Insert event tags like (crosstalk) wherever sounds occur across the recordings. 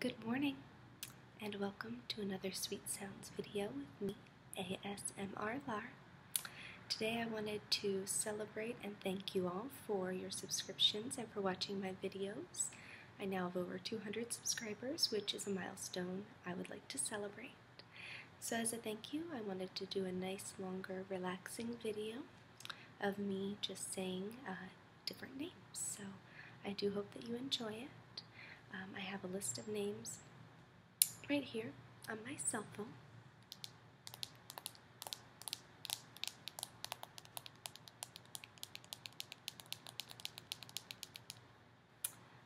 Good morning, and welcome to another Sweet Sounds video with me, ASMR Lar. Today I wanted to celebrate and thank you all for your subscriptions and for watching my videos. I now have over 200 subscribers, which is a milestone I would like to celebrate. So as a thank you, I wanted to do a nice, longer, relaxing video of me just saying uh, different names. So I do hope that you enjoy it. Um, I have a list of names right here on my cell phone.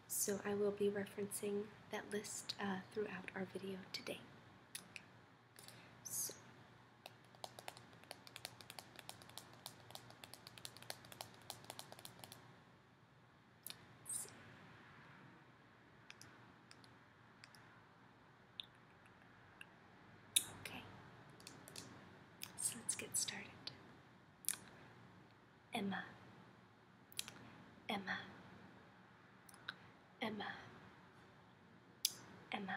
So I will be referencing that list uh, throughout our video today. So Okay, so let's get started. Emma, Emma, Emma, Emma,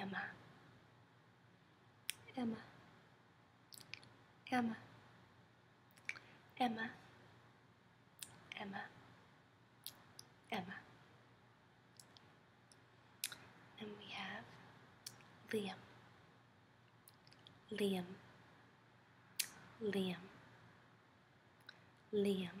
Emma. Emma. Emma. Emma. Emma. Emma. And we have Liam. Liam. Liam. Liam.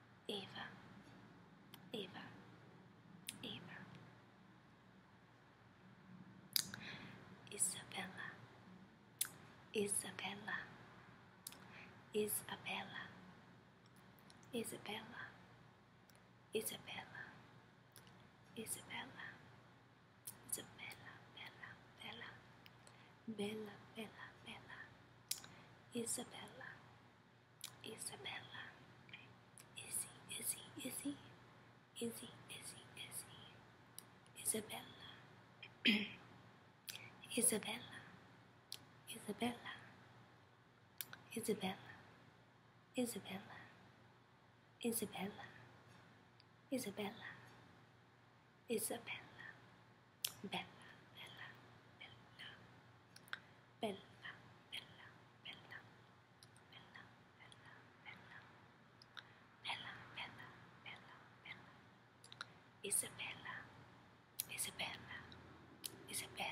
Eva, Eva, Eva, Isabella, Isabella, Isabella, Isabella, Isabella, Isabella, Isabella, Bella, Bella, Bella, Bella, Bella, Isabella, Isabella, Izzy, Izzy, Izzy, Izzy, Izzy, Izzy, Isabella, (clears throat) Isabella, Isabella, Isabella, Isabella, Isabella, Isabella, Isabella. Bella, bella, bella. Bella, bella, bella. Bella, bella, bella. Bella, Isabella, Isabella, Isabella.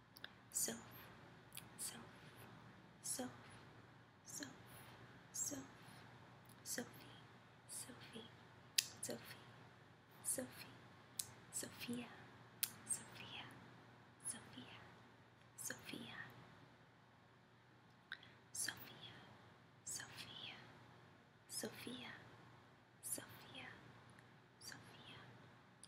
self, self, self, self, self, Sophie, Sophie, Sophie, Sophie, Sophia, Sophia, Sophia, Sophia, Sophia, Sophia, Sophia, Sophia, Sophia,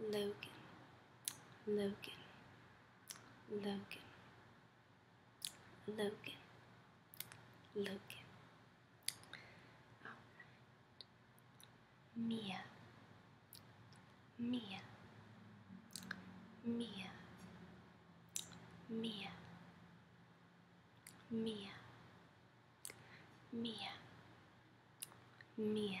Logan, Logan, Logan, Logan, Logan. All right. Mia, Mia, Mia, Mia, Mia, Mia, Mia.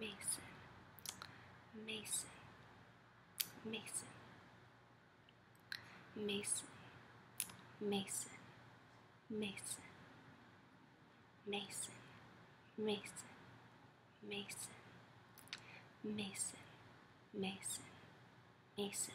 Mason, Mason, Mason, Mason, Mason, Mason, Mason, Mason, Mason, Mason, Mason, Mason,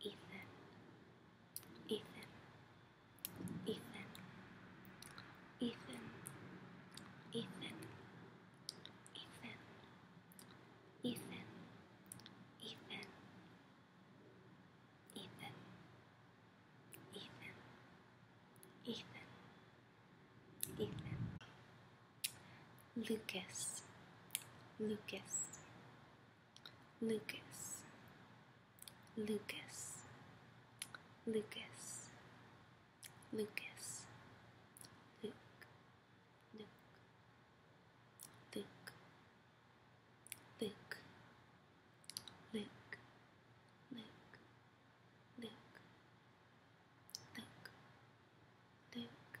Ethan, Ethan, Ethan, Ethan, Ethan, Ethan, Ethan, Ethan, Ethan, Ethan, Ethan, Ethan, Lucas, Lucas, Lucas, Lucas, Lucas, Lucas, Luke, Luke, Luke, Luke, Luke, Luke, Luke, Luke, Luke, Luke,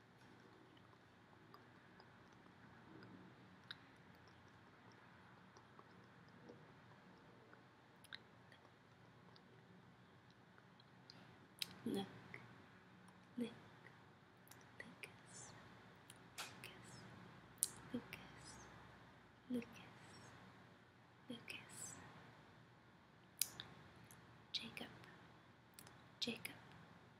Look, Lucas, Lucas, Lucas, Lucas, Lucas, Jacob, Jacob,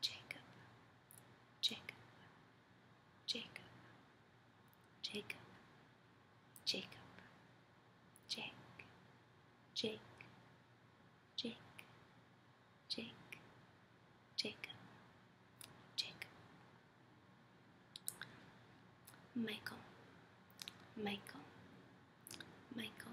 Jacob, Jacob, Jacob, Jacob, Jacob, Jake, Jake, Jake, Jake, Jacob, Jacob, Michael, Michael, Michael,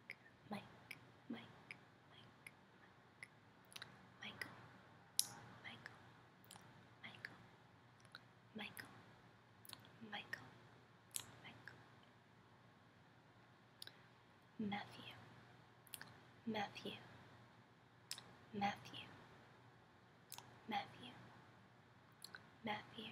Mike, Mike, Mike, Mike, Michael, Michael, Michael, Michael, Michael, Michael, Matthew, Matthew, Matthew, Matthew, Matthew,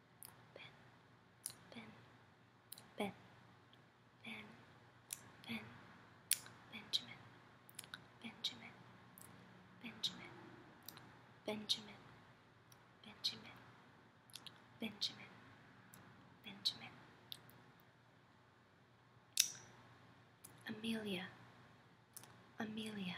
Ben, Ben, Ben, Ben, Ben, Benjamin, Benjamin, Benjamin, Benjamin, Benjamin, Benjamin, Benjamin. Amelia, Amelia,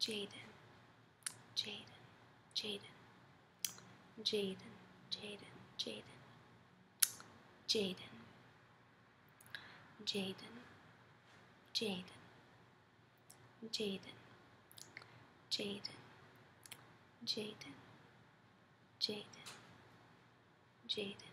Jaden, Jaden, Jaden, Jaden, Jaden, Jaden, Jaden, Jaden, Jaden, Jaden, Jaden, Jaden, Jaden, Jaden,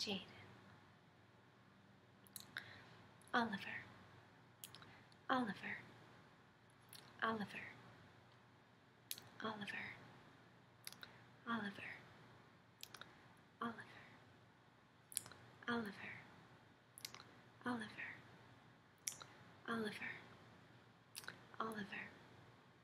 Jaden, Oliver, Oliver, Oliver, Oliver, Oliver, Oliver, Oliver, Oliver, Oliver, Oliver,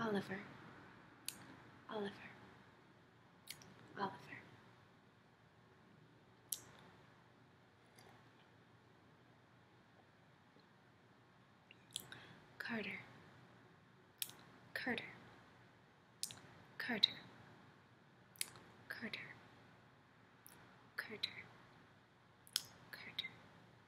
Oliver, Oliver, Oliver. Carter, Carter, Carter, Carter, Carter, Carter.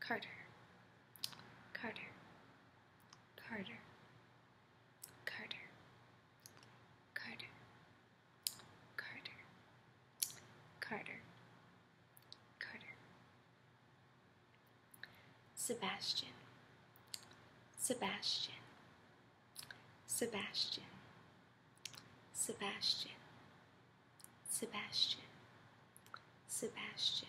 Carter, Carter, Carter, Carter, Carter, Carter, Carter, Carter, Sebastian, Sebastian, Sebastian, Sebastian, Sebastian, Sebastian.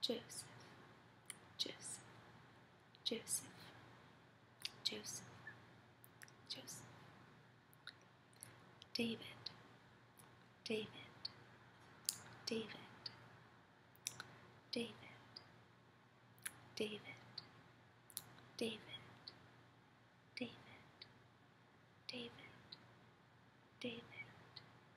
Joseph, Joseph, Joseph, Joseph, Joseph, David, David, David, David, David, David, David, David, David,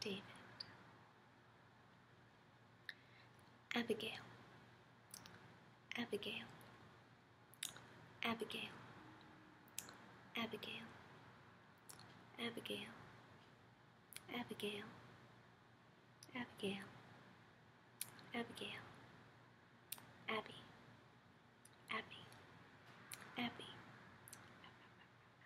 David, Abigail, Abigail, Abigail, Abigail, Abigail, Abigail, Abigail, Abigail, Abby, Abby, Abby.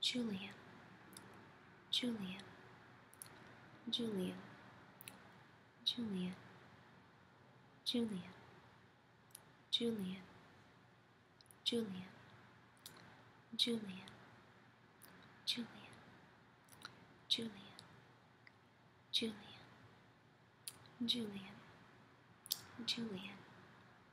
Julian, Julian, Julian, Julian, Julian, Julian, Julian, Julian, Julian, Julian, Julian, Julian, Julian,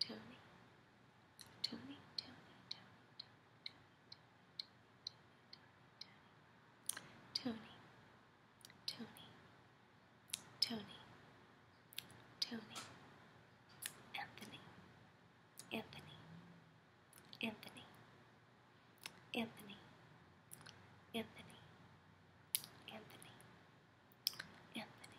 Tony, Tony, Tony, Tony, Tony, Tony, Tony, Anthony, Anthony, Anthony, Anthony, Anthony, Anthony, Anthony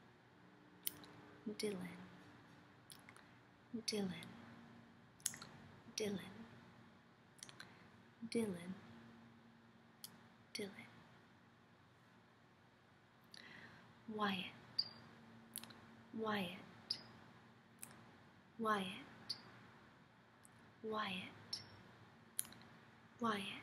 Dylan, Dylan, Dylan, Dylan, Dylan. Wyatt, Wyatt, Wyatt, Wyatt, Wyatt,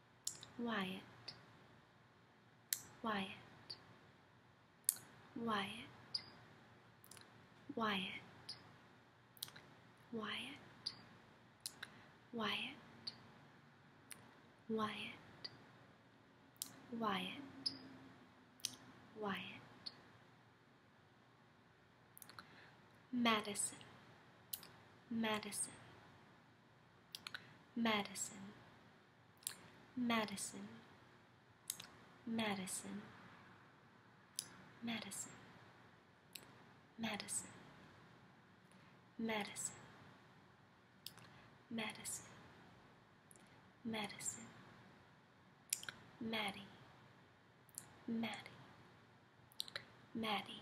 Wyatt, Wyatt, Wyatt, Wyatt, Wyatt, Wyatt, Wyatt, Wyatt, Wyatt, Madison, Madison, Madison. Madison, Madison, Madison, Madison, Madison, Madison, Madison, Maddie, Maddie, Maddie.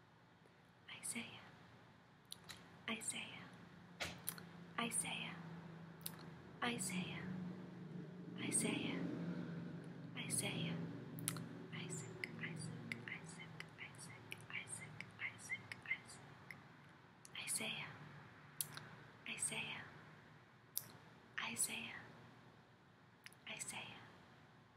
Isaiah, Isaiah, Isaiah, Isaiah, Isaiah, Isaiah, Isaac, Isaac, Isaac, Isaac, Isaac, Isaac, Isaac, Isaiah, Isaiah, Isaiah, Isaiah,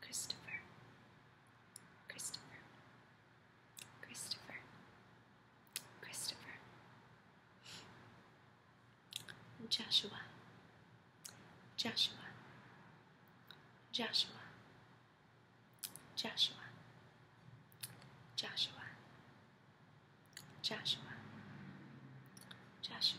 Christopher, Christopher, Christopher, Christopher, Joshua, Joshua, Joshua, Joshua, Joshua, Joshua, Joshua,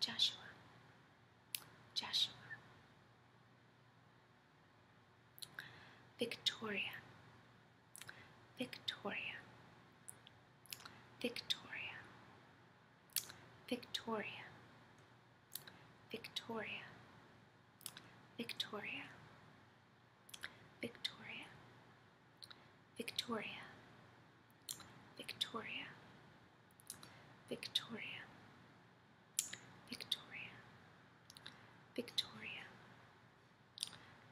Joshua, Joshua, Victoria, Victoria, Victoria, Victoria, Victoria, Victoria, Victoria, Victoria, Victoria, Victoria, Victoria, Victoria,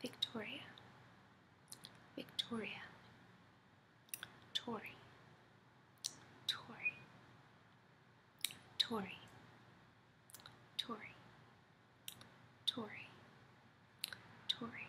Victoria, Victoria, Tory, Tory, Tory, Tory, Tory, Tory,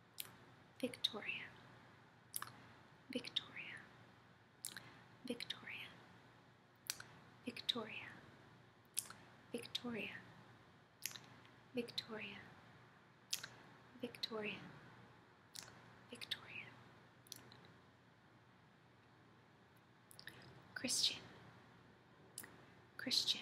Victoria, Victoria, Victoria, Victoria, Victoria, Victoria, Victoria, Victoria, Christian, Christian.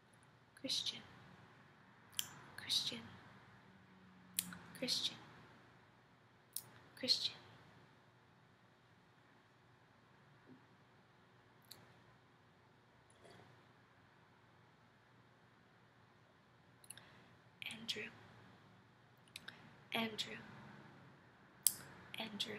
Christian, Christian, Christian, Christian. Andrew, Andrew, Andrew,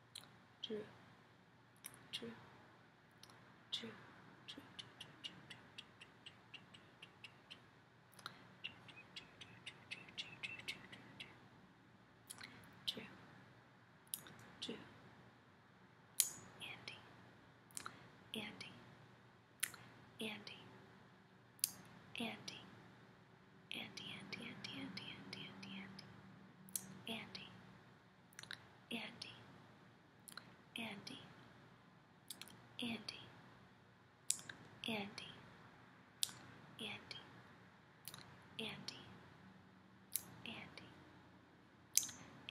True. True. True. True. True. True. Andy. Andy. Andy. Andy. Andy, Andy, Andy, Andy, Andy, Andy, Andy, Andy, Andy, Andy, Andy, Andy,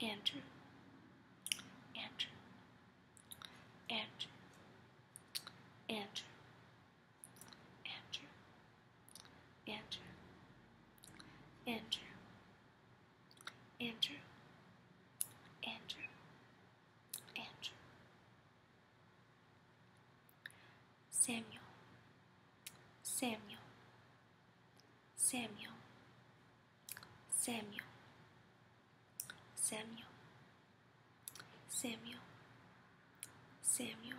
Andrew, Andrew, Andrew, Andrew, Andrew, Andrew, Andrew, Andrew, Andrew, Andrew, Samuel, Samuel, Samuel, Samuel, Samuel, Samuel, Samuel.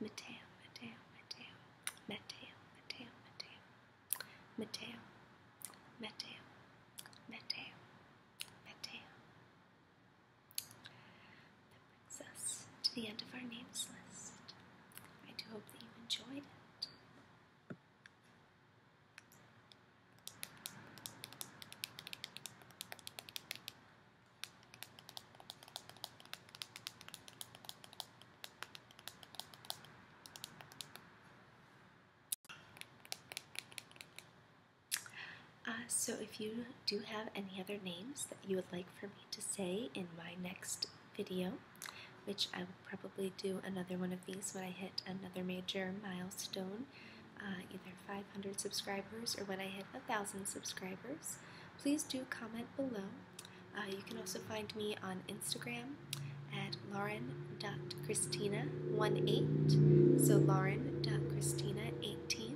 Mateo, Mateo, Mateo, Mateo, Mateo, Mateo, Mateo, Mateo, Mateo, Mateo. That brings us to the end of our names list. I do hope that you enjoyed it. Uh, so, if you do have any other names that you would like for me to say in my next video, which I will probably do another one of these when I hit another major milestone, uh, either 500 subscribers or when I hit 1,000 subscribers, please do comment below uh, you can also find me on Instagram at lauren.christina18. So lauren.christina18.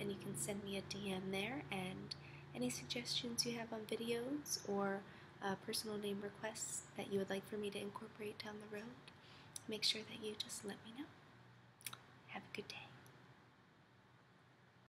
And you can send me a DM there and any suggestions you have on videos or uh, personal name requests that you would like for me to incorporate down the road, make sure that you just let me know. Have a good day.